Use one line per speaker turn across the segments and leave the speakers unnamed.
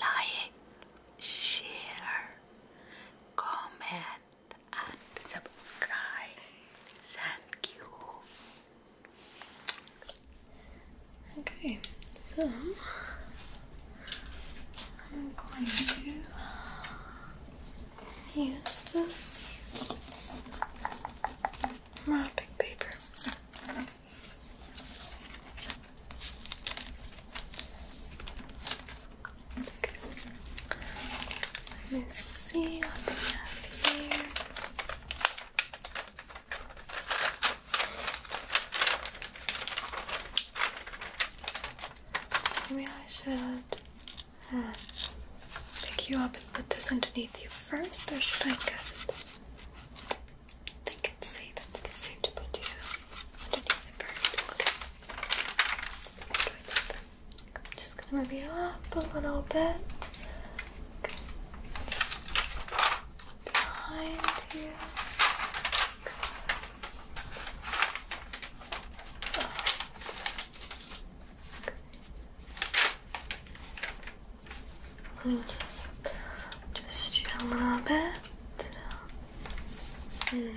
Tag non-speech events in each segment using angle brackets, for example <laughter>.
Like, share, comment, and subscribe. Thank you. Okay, so I'm going to use this wrapping paper. Okay. Let me see what they have here. Maybe I should hmm, pick you up and put this underneath you first, or should I cut I think it's safe. to put you underneath the I'm just gonna move you up a little bit. Behind you. Let me just twist you a little bit. Hmm.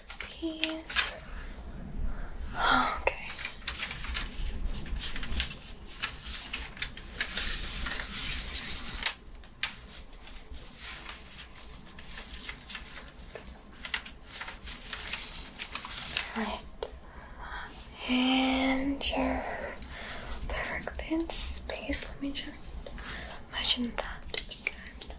after Okay. Right. And you perfect in space. Let me just imagine that again.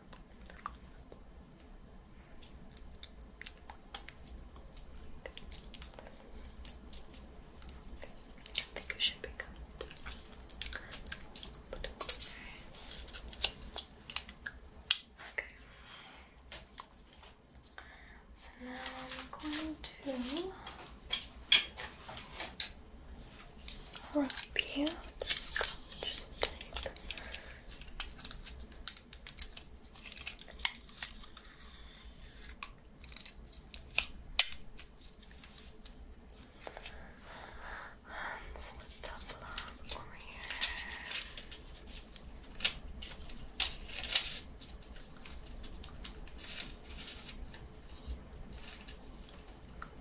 I think it should be good. Okay. So now I'm going to wrap you the scotch tape and some stuff over here. Okay.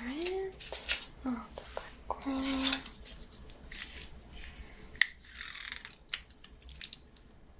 Alright, oh, the background.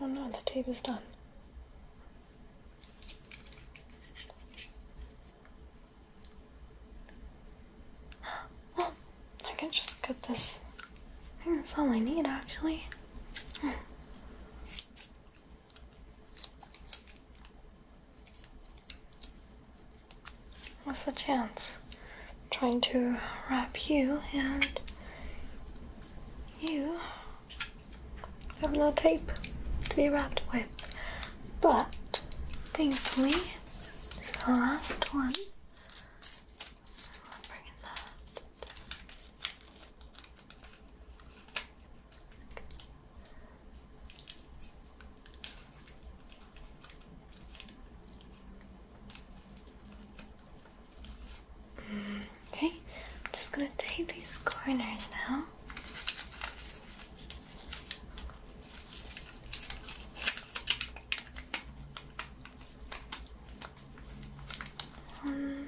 Oh no, the tape is done. <gasps> Well, I can just cut this. that's all I need actually. Hmm. What's the chance? trying to wrap you and you have no tape to be wrapped with, but thankfully, it's the last one. I'm bringing that. Okay, I'm just gonna take these corners now. Um,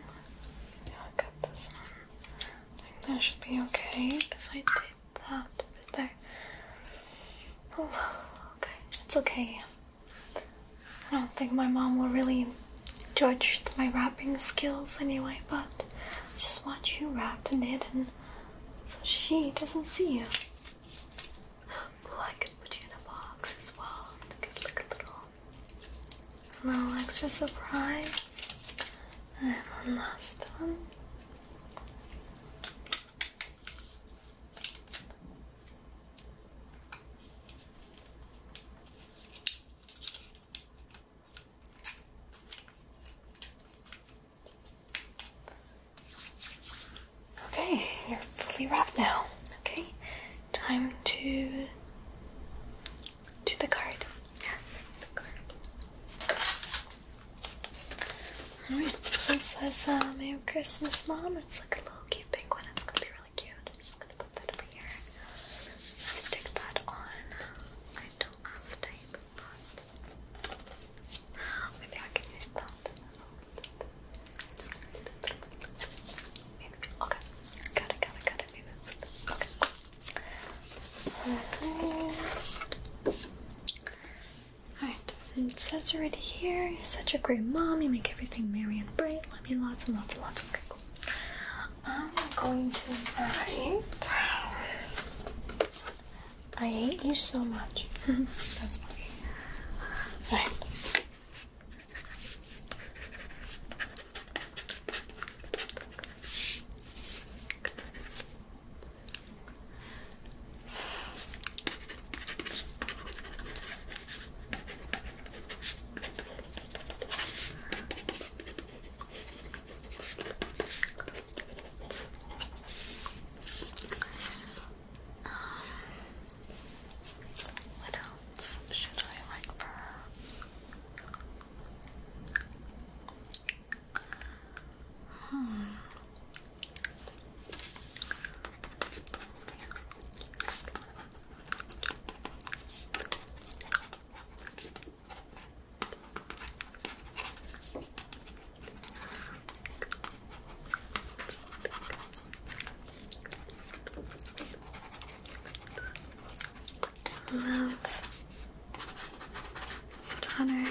got this one. I think that should be okay because I did that bit there. Oh, okay, it's okay. I don't think my mom will really judge my wrapping skills anyway, but I just want you wrapped and hidden so she doesn't see you. I could put you in a box as well. It could look a little, little extra surprise. And one last one. Okay, you're fully wrapped now. Okay, time to to the card. Yes, the card. Alright, this one says uh, Merry Christmas, Mom. It's like a little cute pink It's gonna be really cute. I'm just gonna put that over here. Stick that on. I don't have tape, but maybe I can that. I'm just gonna maybe. Okay. Got it, got it, got it. Maybe it's okay. Alright, and it says right here, you're such a great mom, you make everything merry and bright. Let me lots and lots and lots of crinkles. I'm going to write I hate you so much. <laughs> That's funny. Alright. Um, what else should I like for Hmm. Love your daughter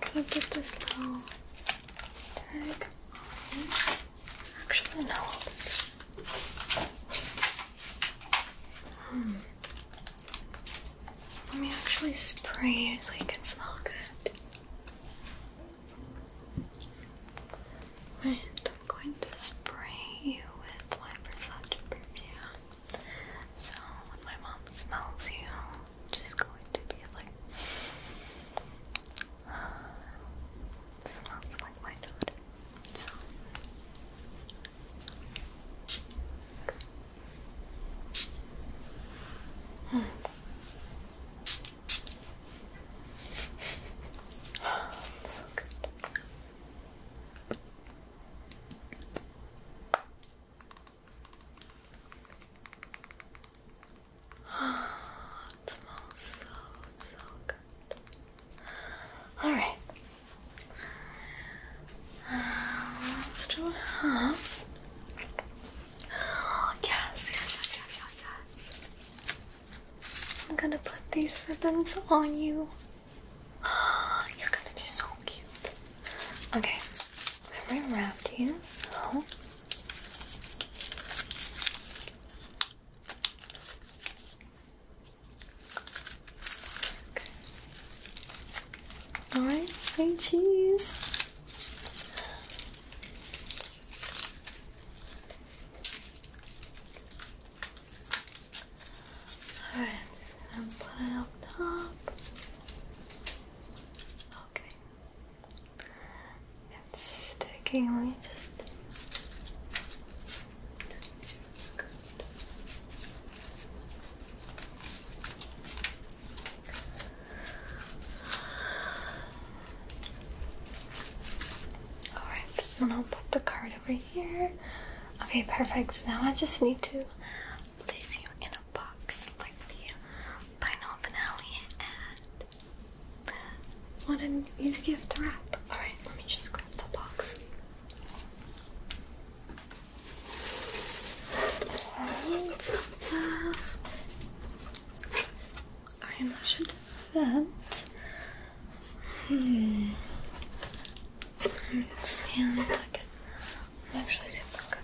I'm gonna get this little tag Actually, no. Hmm. Let me actually spray it so you can smell good. And I'm going to spray you with my Versace perfume. So when my mom smells you, I'm just going to be like, smells like my daughter. so <sighs> good. <gasps> it smells so, so good. Alright. Uh, let's do half. Oh, <gasps> yes, yes, yes, yes, yes. I'm gonna put these ribbons on you. You're gonna be so cute. Okay, let me wrap you. So. Okay. Alright, say cheese. Alright, I'm just gonna put it up top. Okay. It's sticking. Let me just, make sure it's good. Alright, and I'll put the card over here. Okay, perfect. Now I just need to place you in a box like the final finale and what an easy gift to wrap. Alright, let me just grab the box. Alright, that should fit. Hmm. Scan like make sure it's okay.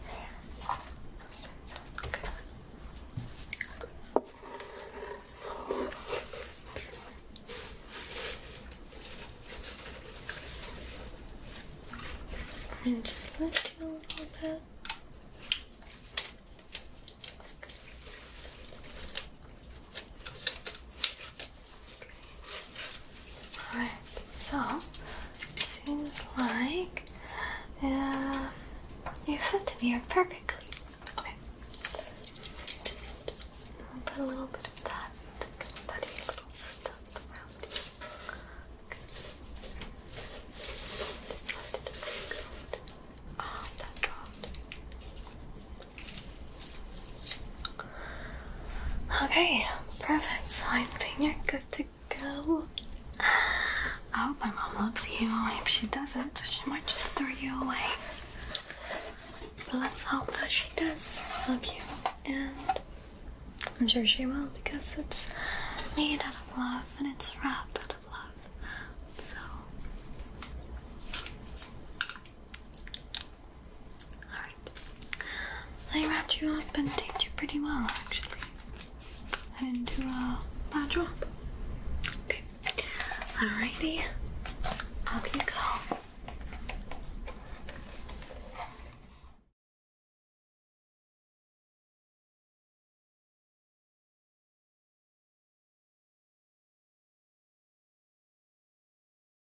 And just lift you a little bit. Okay. Alright, so seems like uh, you fit in here perfectly. Okay. Just put a little bit of that, that ah, that dropped. Okay, perfect. So I think you're good to go. I hope my mom loves you. If she doesn't, she might just throw you away. But let's hope that she does love you. And I'm sure she will because it's made out of love and it's wrapped out of love. So Alright. I wrapped you up and taped you pretty well, actually. I didn't do a bad job. Okay. Alrighty. Up you go.